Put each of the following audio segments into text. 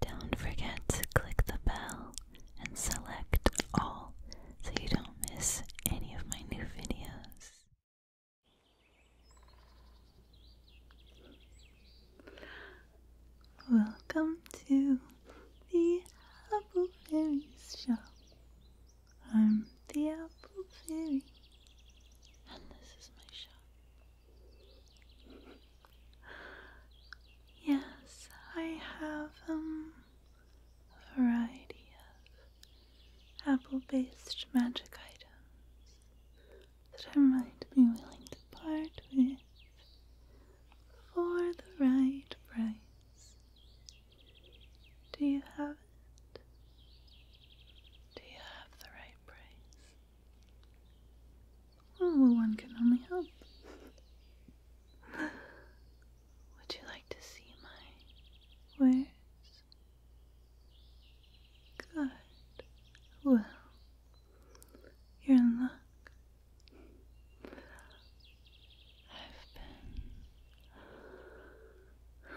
Don't forget to click the bell and select all so you don't miss any of my new videos. Welcome to the Apple Fairies show. I'm the Apple Fairy, and this is my shop. Yes, I have um, a variety of apple based magic items that I might be willing to part with for the right price. Do you have it? Do you have the right price? well, one can only hope. Would you like to see my wares? Good. Well, you're in luck. I've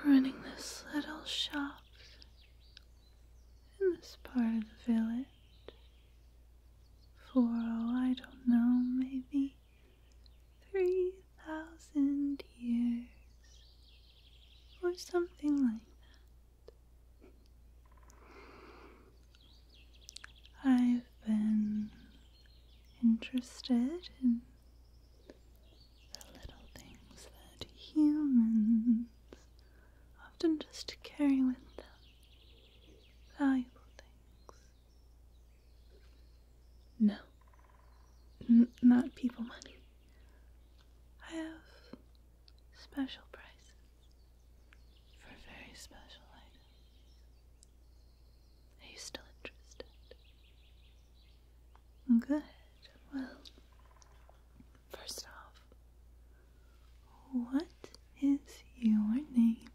been running this little shop in this part of the village for, oh, I don't know, maybe 3,000 years or something like that. I've been interested in the little things that humans often just carry with them valuable things. No, not people money. I have special prices for very special items. Are you still interested? Okay. Well, First off, what is your name?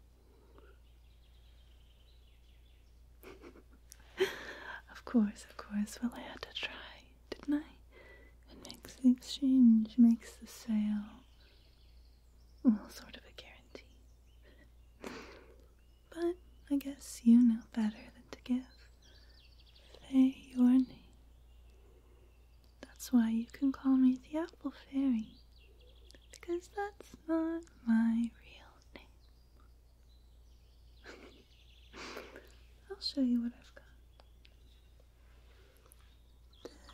of course, of course. Well, I had to try, didn't I? It makes the exchange, makes the sale. Well, sort of a guarantee. but I guess you know better than to give. Say your name. That's why you can call me the Apple Fairy, because that's not my real name. I'll show you what I've got.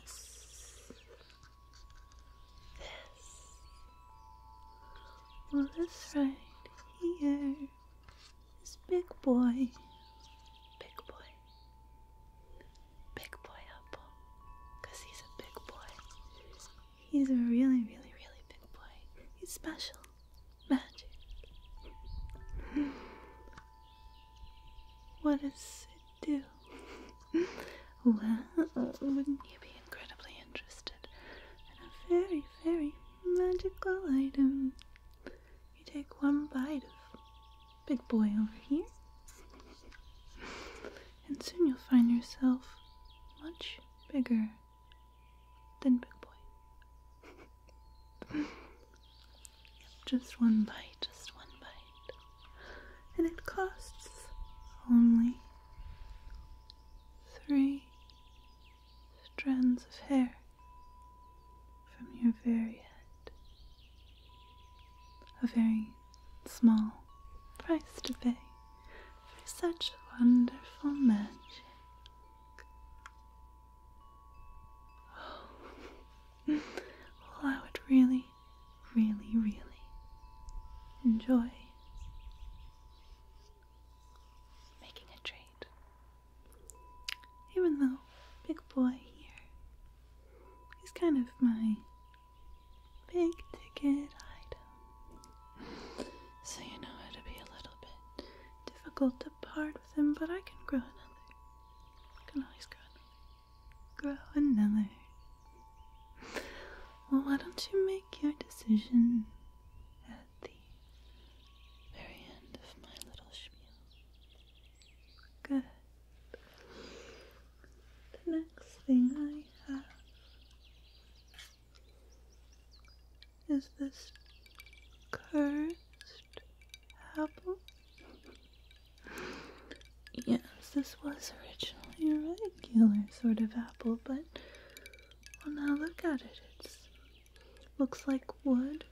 This. This. this right here is Big Boy. Big Boy. Big boy apple. Because he's a big boy. He's a really, really, really big boy. He's special. Magic. What does it do? well, wouldn't you be incredibly interested in a very, very magical item? You take one bite of Big boy over here. And soon you'll find yourself much bigger than Big Boy. just one bite, just one bite. And it costs only three strands of hair from your very head a very small price to pay for such wonderful magic. well, I would really, really, really enjoy making a trade even though Big Boy here is kind of my big ticket item. So you know it'll be a little bit difficult to part with him, but I can grow another. I can always grow another. Grow another. Well, why don't you make your decision at the very end of my little spiel? Good. The next thing I have is this cursed apple. Yes, this was originally a regular sort of apple, but well, now look at it. It's Looks like wood.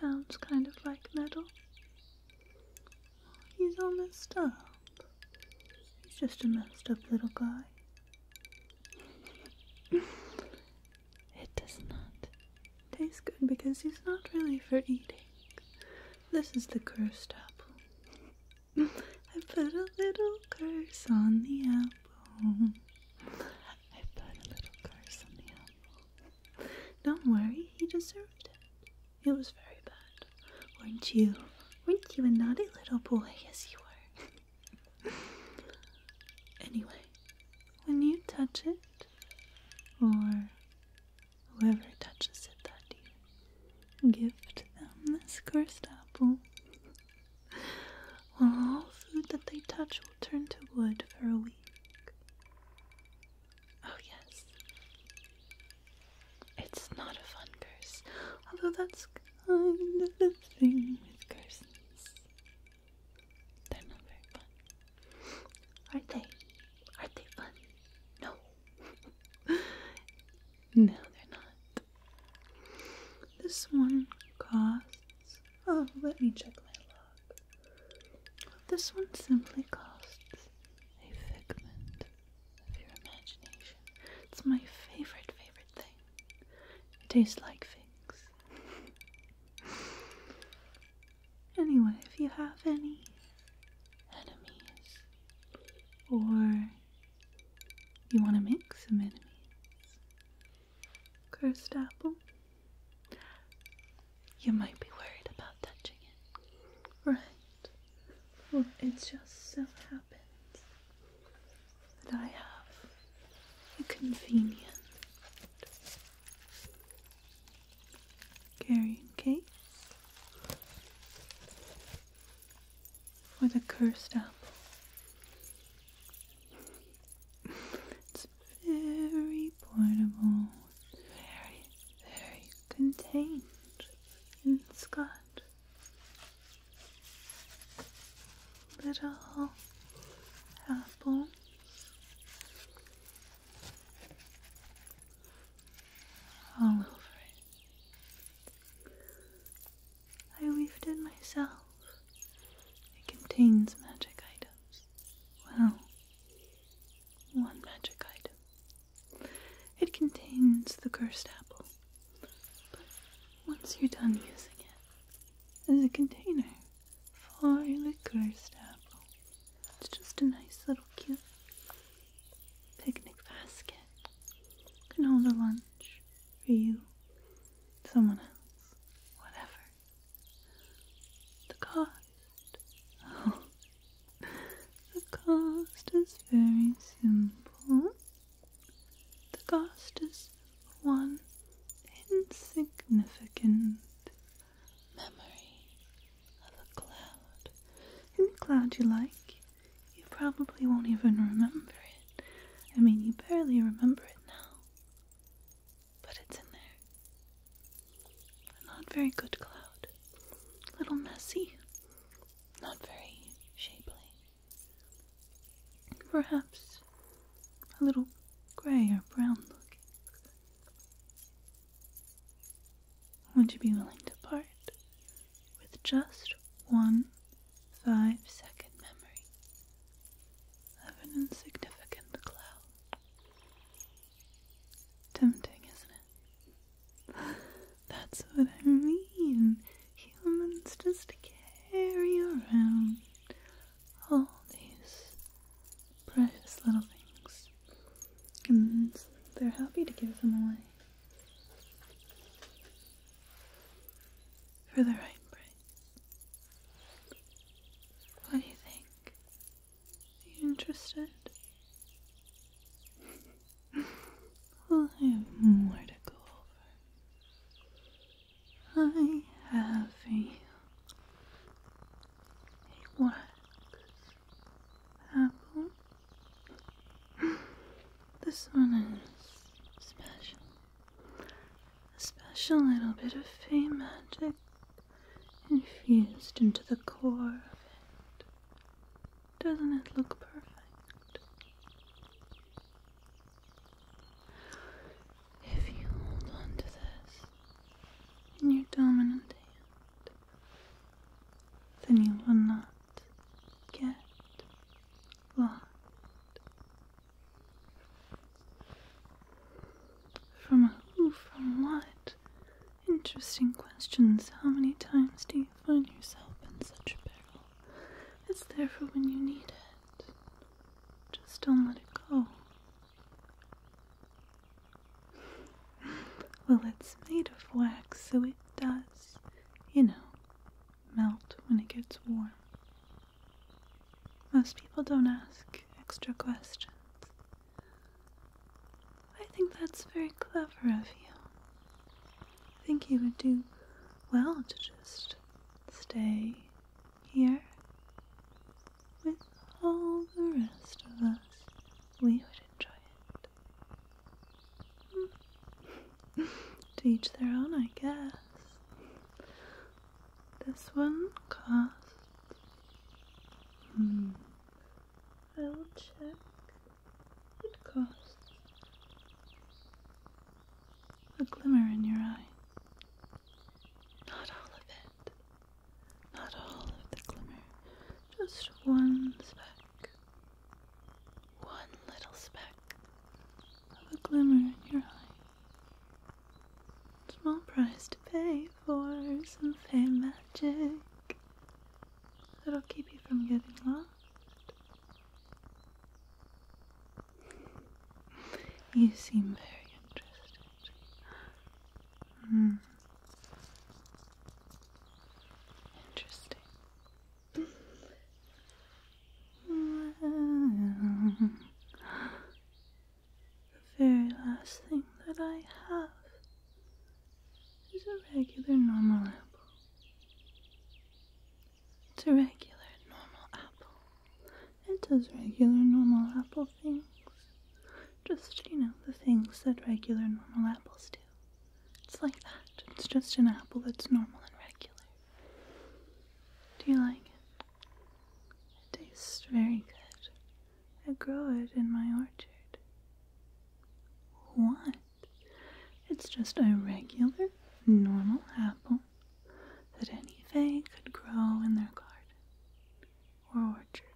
Sounds kind of like metal. He's all messed up. He's just a messed up little guy. it does not taste good because he's not really for eating. This is the cursed apple. I put a little curse on the apple. I've a little curse on the animal. Don't worry, he deserved it. It was very bad. Weren't you? Weren't you a naughty little boy? Yes, you were. anyway, when you touch it, or whoever touches it that you give them this cursed apple. Well, all food that they touch turn to wood for a week. Oh, yes. It's not a fun curse, although that's kind of the thing with curses. They're not very fun. Are they? Are they fun? No. no, they're not. This one costs. Oh, let me check my log. This one simply costs a figment of your imagination. It's my favorite, favorite thing. tastes like figs. anyway, if you have any enemies, or you want to make some enemies, cursed apple. You might be worried about touching it. Right. Well, it just so happens that I have a convenient carrying case for the cursed apple. very portable, very, very contained in Scott. Little apple. All over it. I weaved it myself it contains magic items. Well, one magic item. It contains the cursed apple. But once you're done using it as a container for the cursed apple, it's just a nice little cute picnic basket. Can hold a lunch for you, someone else, whatever. The cost. Oh. The cost is very simple. The cost is one insignificant memory of a cloud. Any cloud you like, you probably won't even remember it. I mean, you barely remember it now but it's in there. not very good cloud. A little messy. Not very shapely. Perhaps a little gray or brown looking. Would you be willing to part with just one five second memory? of an insignificant cloud. Tempting, isn't it? That's what I mean. Humans just carry around all these precious little things, and they're happy to give them away. For the right what do you think? you interested? I have more to go over. I have a, a wax apple. This one is special a special little bit of fey magic infused into the core of it. Doesn't it look perfect? If you hold onto this in your dominant hand, then you will not get lost from who? From what? Interesting questions. How many times do you find yourself in such a peril? It's there for when you need it. Just don't let it go. Well, it's made of wax, so it does, you know, melt when it gets warm. Most people don't ask extra questions. I think that's very clever of you. I think you would do well to just stay here with all the rest of us. We would enjoy it. to each their own, I guess. This one costs. I hmm, will check. It costs a glimmer in your eye. Not all of it. Not all of the glimmer. Just one speck. One little speck of a glimmer in your eye. Small price to pay for some fame magic that'll keep you from getting lost. You seem very interested. Mm. Interesting. The very last thing that I have is a regular normal apple. It's a regular normal apple. It does regular normal apple things. Just, you know, the things that regular normal apples do. It's like that. It's just an apple that's normal and regular. Do you like it? It tastes very good. I grow it in my orchard. What? It's just a regular, normal apple that any fay could grow in their garden or orchard.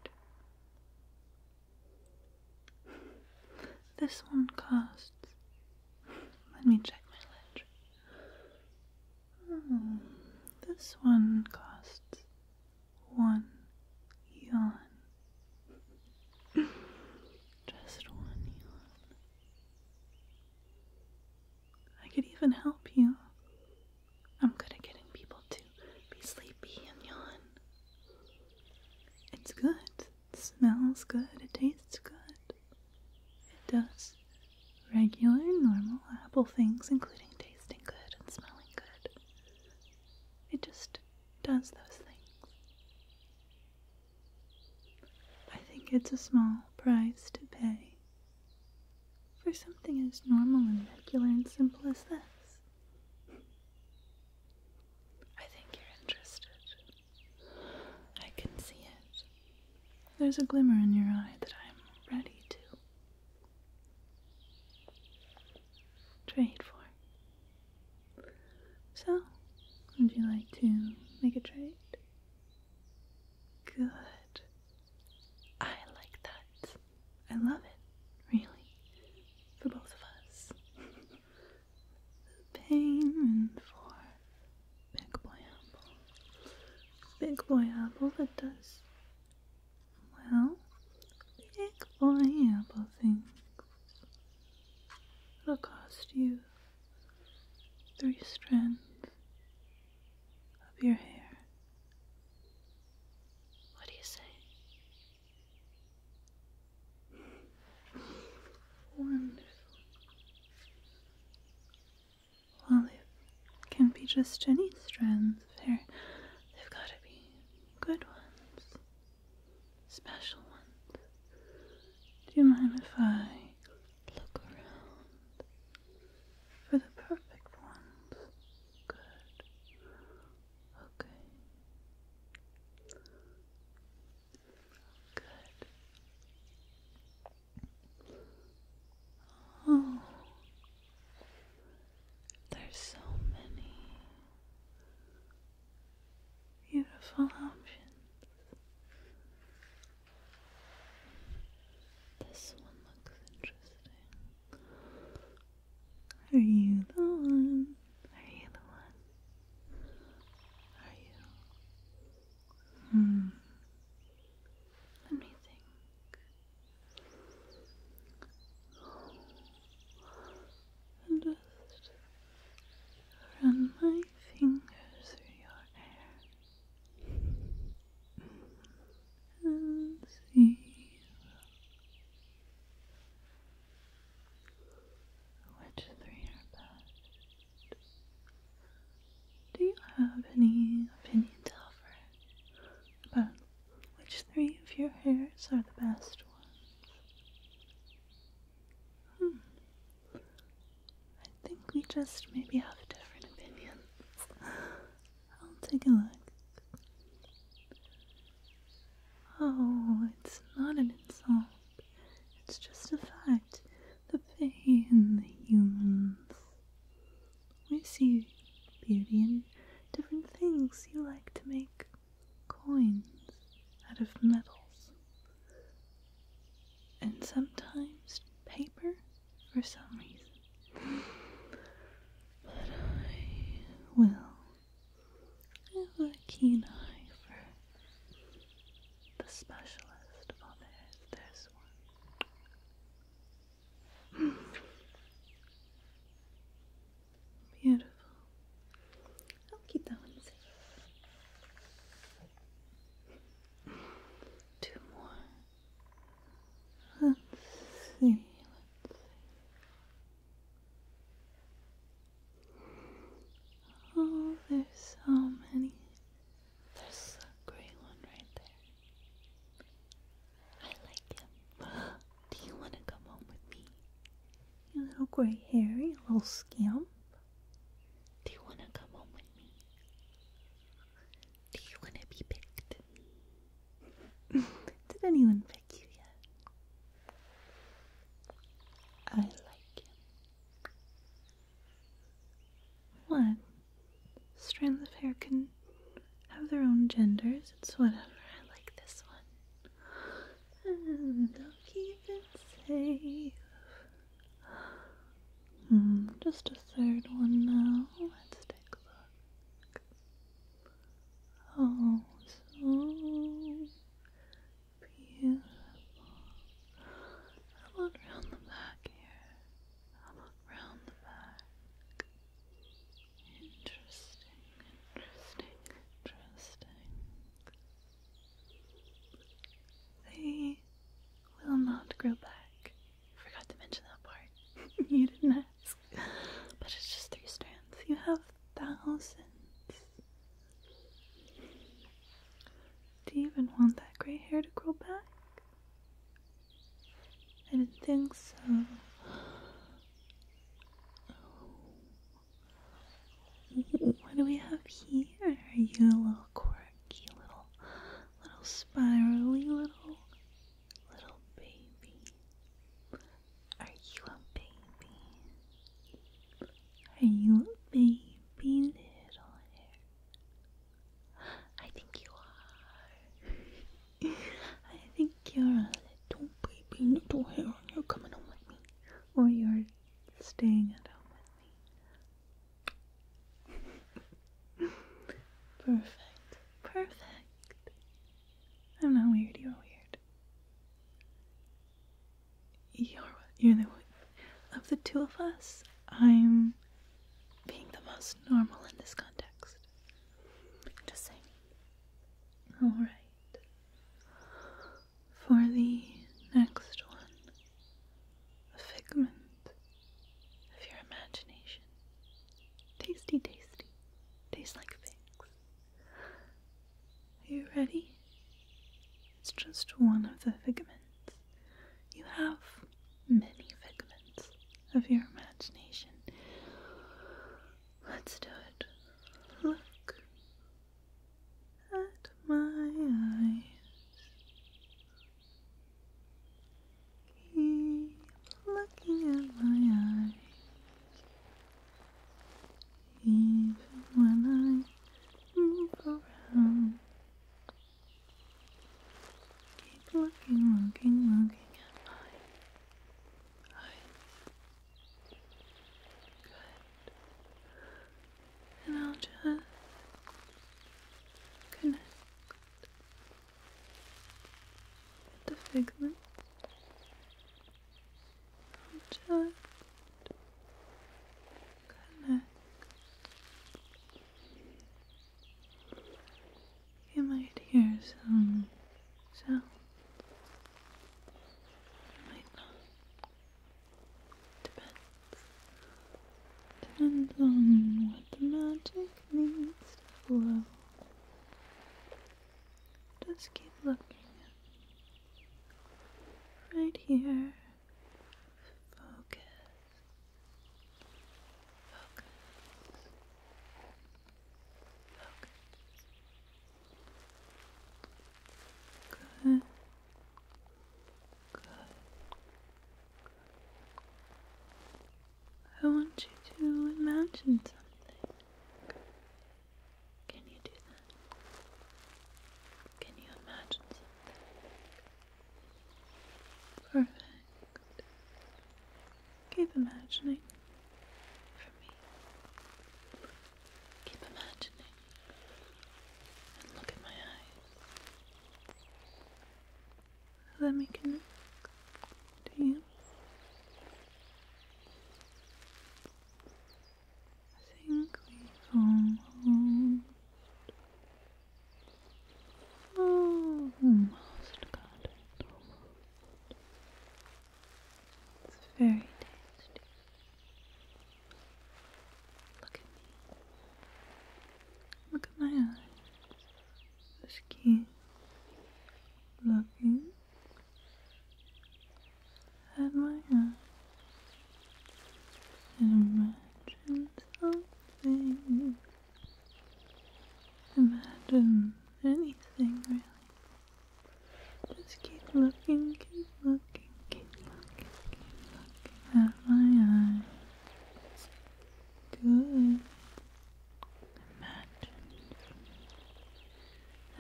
This one costs let me check my ledger. Hmm, this one costs one yawn. Just one yawn. I could even help you. I'm good at getting people to be sleepy and yawn. It's good. It smells good. It tastes good. It does regular, normal apple things, including tasting good and smelling good. It just does those things. I think it's a small price to pay for something as normal and regular and simple as this. I think you're interested. I can see it. There's a glimmer in your eye that I'm ready to trade for. So, would you like to make a trade? Good. I like that. I love it, really. For both of us. the pain for Big boy apple. Big boy apple that does. Well, big boy apple things. It'll cost you three strands of your hair. What do you say? Wonderful. Well, it can be just any strands of hair, they've got to be good ones, special ones. Do you mind if I look around for the perfect ones? Good. Okay. Oh, there's so many beautiful options. This one looks interesting. Are you the one? Are you the one? Are you Hmm. just run my fingers through your hair and see which three are best. Do you have any opinions, to offer about which three of your hairs are the best ones? Hmm. I think we just maybe have different opinions. I'll take a look. Oh, it's not an insult. It's just a fact The pain, and the humans. We see beauty in different things. You like to make coins out of metals. And sometimes paper for some reason. But I will have a keen eye for the specialist. Well, there's this one. Beautiful. I'll keep that one safe. Two more. Let's see. Let's see. Oh, there's so many. There's a gray one right there. I like him. Do you want to come home with me? You little gray hairy, a little scamp. Do you want to come home with me? Do you want to be picked? Did anyone pick you yet? I like him. What? Strands of hair can have their own genders. It's whatever. I like this one. And I'll keep it safe. Hmm, just a third one now. Let's take a look. Oh, so Beautiful. How about round the back here? How about round the back? Interesting, interesting, interesting. They will not grow back. Forgot to mention that part. you didn't ask. But it's just three strands. You have thousands do you even want that gray hair to grow back? I didn't think so. What do we have here? Are you a little quirky, little, little spirally, little, little baby? Are you a baby? Are you a baby, little hair? I think you are. I think you're a little baby, little hair, and you're coming home with me. Or you're staying at home with me. perfect, perfect. I'm not weird, you're weird you're the one of the two of us. I'm being the most normal in this context. Just saying. All right. For the next one, a figment of your imagination. Tasty, tasty. Tastes like figs. Are you ready? It's just one of the figments. You have many figments of your imagination. Let's do it. Look at my eyes. Keep looking at my eyes. Even when I move around, keep looking, looking, looking at my eyes. Good. And I'll just connect the figments. I'll just you might hear some so might not. Depends. Depends on what the magic needs to flow. Just keep looking. Right here. Focus. Focus. Focus. Good. Good. I want you to imagine something. Can you do that? Can you imagine something? Perfect. Keep imagining for me. Keep imagining and look at my eyes. Let me connect to you. I think we've almost, oh, almost got it. Almost. It's very tasty. Look at me. Look at my eyes. This key looking at my eyes and imagine something. Imagine anything really. Just keep looking, keep looking, keep looking, keep looking at my eyes. Good. Imagine.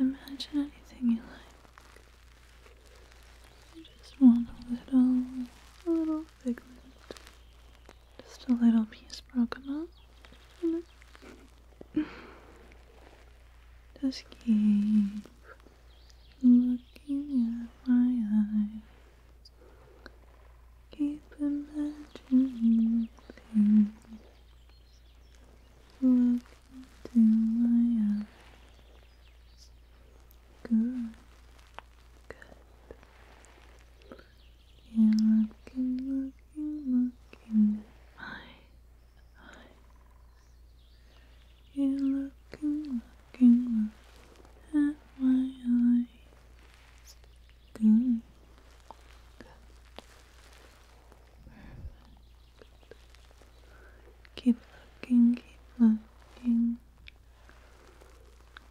Imagine anything you like. You just want a little, a little pigment, just a little piece broken up. Just keep looking at my eyes. Keep imagining things do my eyes. Good. You're looking, looking, looking at my eyes. You're looking, looking, looking at my eyes. Good. Keep looking, keep looking.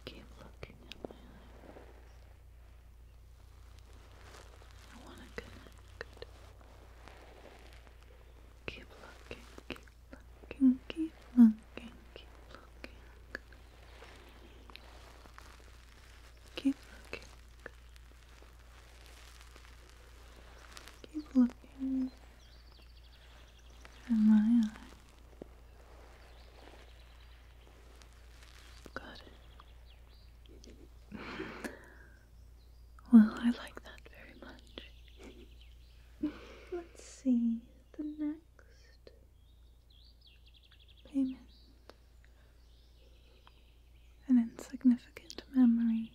Keep looking at my eyes. I want to connect. Keep looking, keep looking, keep looking, keep looking. Keep looking. Keep looking at my eyes. Good. well, I like that very much. Let's see the next payment. An insignificant memory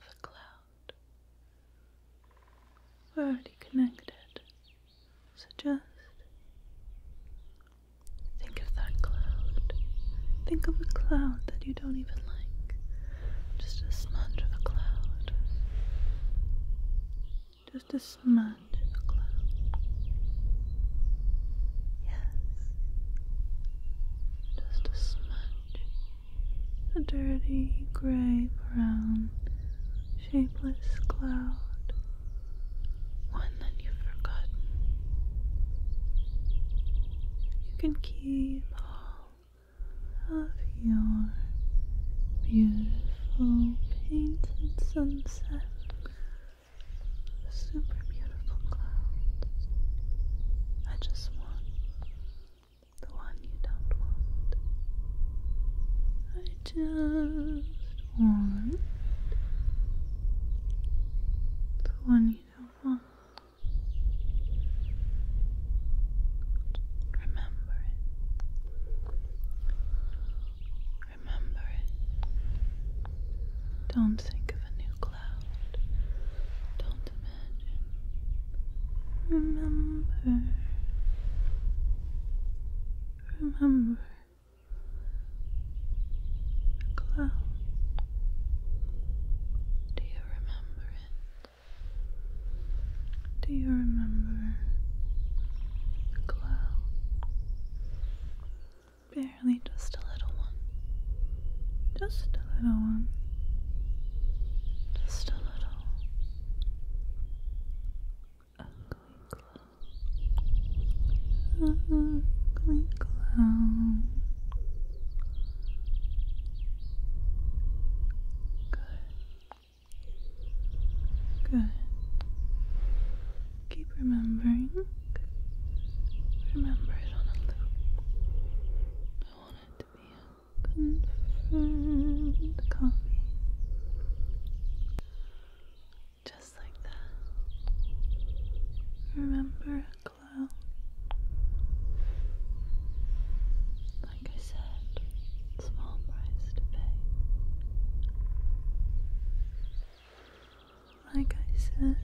of a cloud. We're already connected. So just think of that cloud. Think of a cloud that you don't even like. Just a smudge of a cloud. Just a smudge of a cloud. Yes. Just a smudge a dirty gray brown, shapeless cloud, one that you've You can keep all of your beautiful painted sunset, super beautiful clouds. I just want the one you don't want. I just want the one you don't want. Remember it. Remember it. Don't think of a new cloud. Don't Remember. Remember. The Do you remember it? Do you remember the Barely just a little one. Just a little one. Just a little. Ugly clown. Ugly clown. Good. Good. Keep remembering. Remember it on a loop. I want it to be a confirmed coffee. Just like that. Remember a Like I said, small price to pay. Like I said,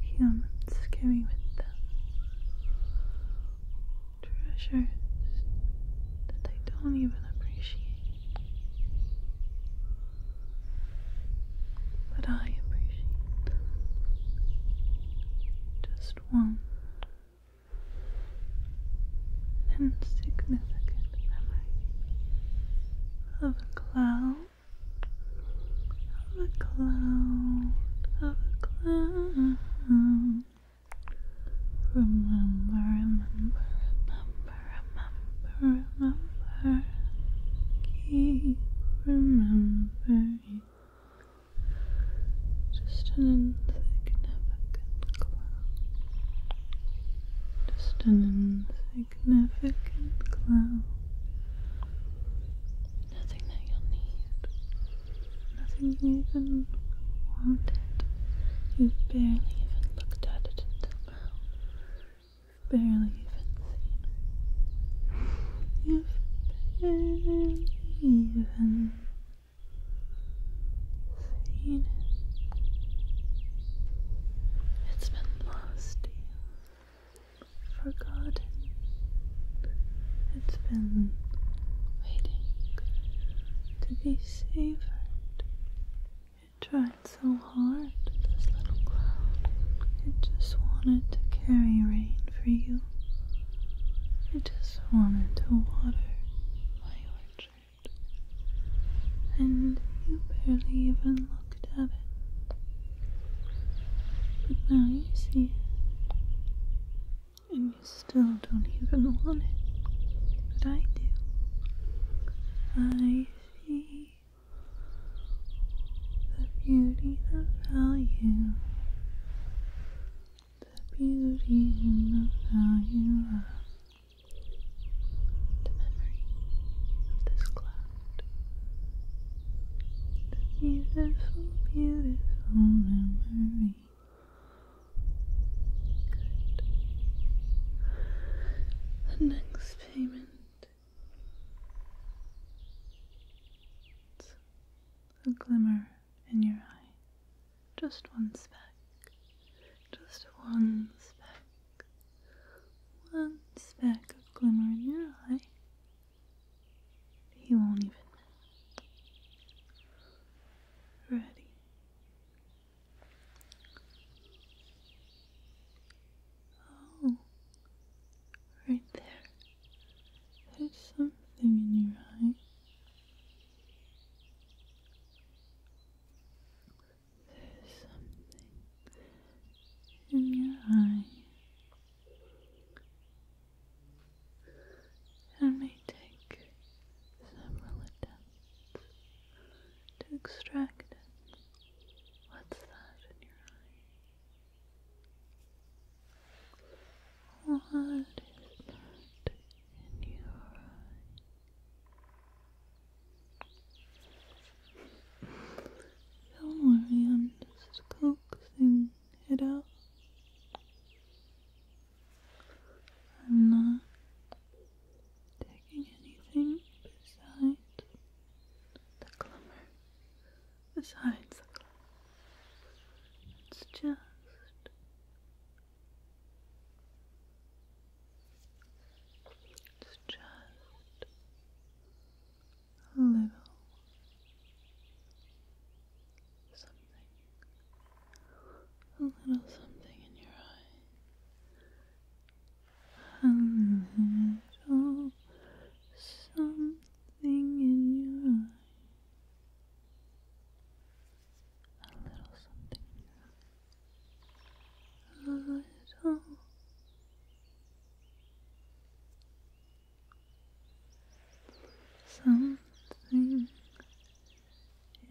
human elements with the treasures that they don't even appreciate. But I appreciate Just one insignificant memory of a cloud of a cloud, of a cloud. Remember, remember, remember, remember, remember. Keep remembering. Just an insignificant cloud. Just an insignificant Nothing that you'll need. Nothing you even wanted. You barely even looked at it until now. barely even seen You've barely even seen it. It's been lost to you forgotten. It's been waiting to be savored. It tried so hard, this little cloud. It just wanted to carry rain for you. It just wanted to water my orchard. And you barely even looked looked at it. But now you see it. And you still don't even want it. But I do. I see the beauty, the value, the beauty and the value of the memory of this cloud the beautiful, beautiful memory. The next payment. It's a glimmer in your eye. Just one speck. Just one speck one speck of glimmer in your eye, he won't even know. Ready. Oh, right there. There's something in your eye. There's something in your eye. I may take several attempts to extract it. What's that in your eye? What is that in your eye? Don't worry, I'm just coaxing it out. I'm not taking anything besides the glimmer. Besides the glimmer. It's just it's just a little something, a little something in your eyes. a little something in your eye, a little something a little. Something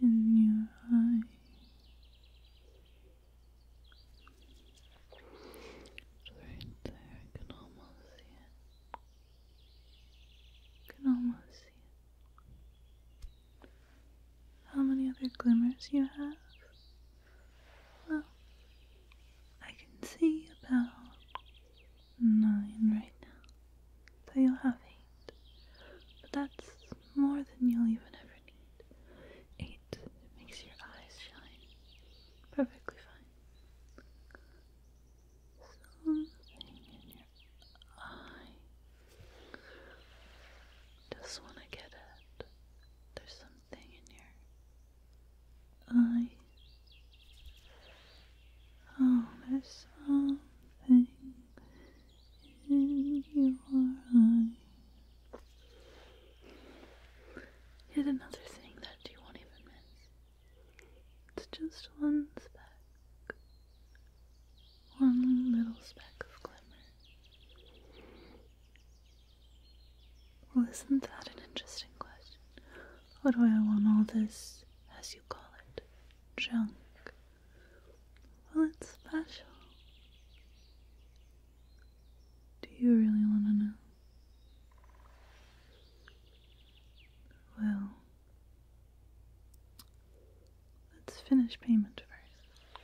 in your eye. right there, I can almost see it. can almost see it. How many other glimmers you have? Well, I can see about nine right now. So you'll have eight. But that's more than you'll even ever need. Eight makes your eyes shine. Perfectly fine. Something in your eye. Just want to get it. There's some I, in your something in your eyes. Oh, Here's another thing that you won't even miss. It's just one speck. One little speck of glimmer. Well, isn't that an interesting question? Why do I want all this, as you call it, junk? Well, it's special. Do you really want to know? Well, let's finish payment first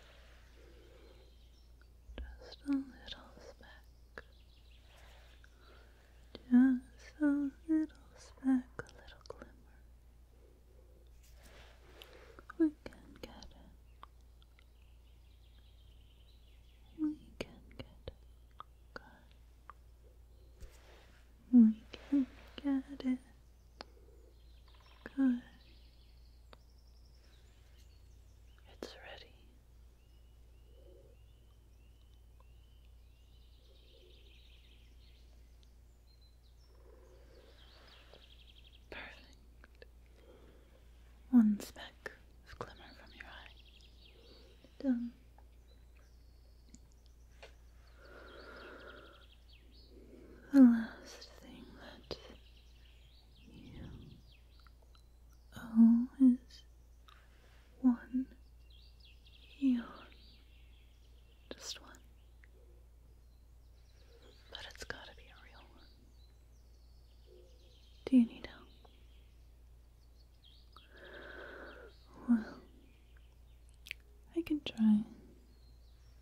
just a little speck, just a little speck, a little glimmer. We can get it. We can get it. We can get it. Good. It's ready. Perfect. One speck of glimmer from your eye. Done. The last thing that all is one eon, just one. But it's gotta be a real one. Do you need help? Well, I can try.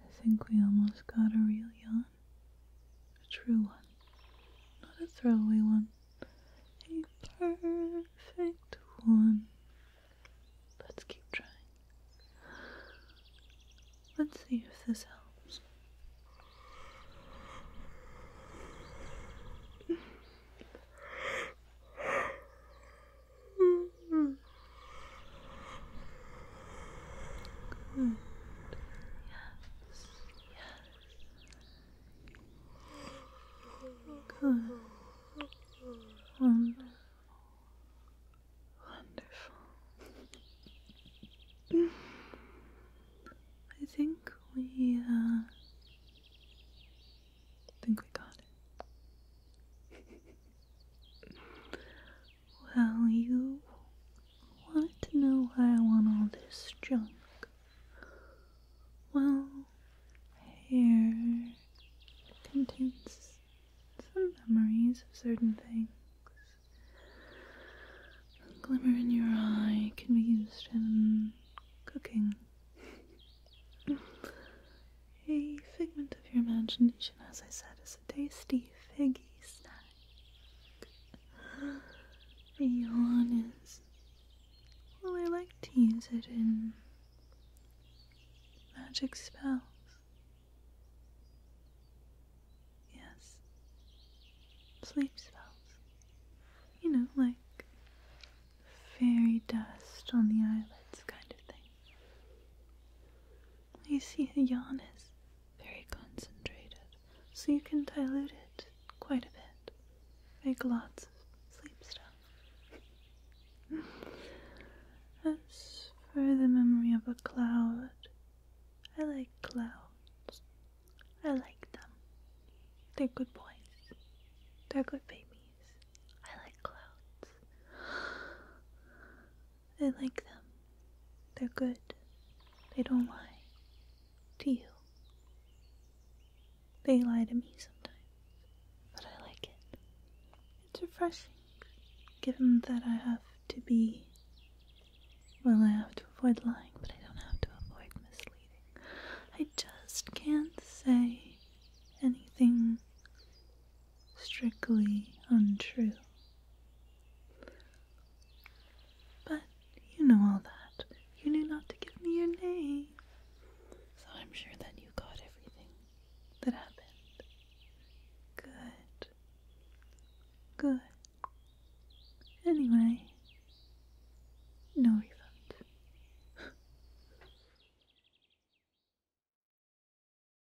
I think we almost got a real yawn. A true one. Not a throwaway one. A perfect one. Let's keep trying. Let's see if this helps. Yes. Yes. Wonderful. Wonderful. I think we, uh, think we got it. Well, you wanted to know why I want all this junk. Well, hair contains some memories of certain things. glimmer in your eye can be used in cooking. a figment of your imagination, as I said, is a tasty figgy be honest. Well, I like to use it in magic spells. Yes. Sleep spells. You know, like fairy dust on the eyelids kind of thing. You see, the yarn is very concentrated, so you can dilute it quite a bit. Make lots of sleep stuff. As for the memory of a cloud, I like clouds. I like them. They're good boys. They're good babies. I like clouds. I like them. They're good. They don't lie. To you. They lie to me sometimes, but I like it. It's refreshing, given that I have to be. Well, I have to avoid lying, but I don't have to avoid misleading. I just can't say anything strictly untrue. But you know all that. You knew not to give me your name. So I'm sure that you got everything that happened. Good. Good. Anyway, no refund.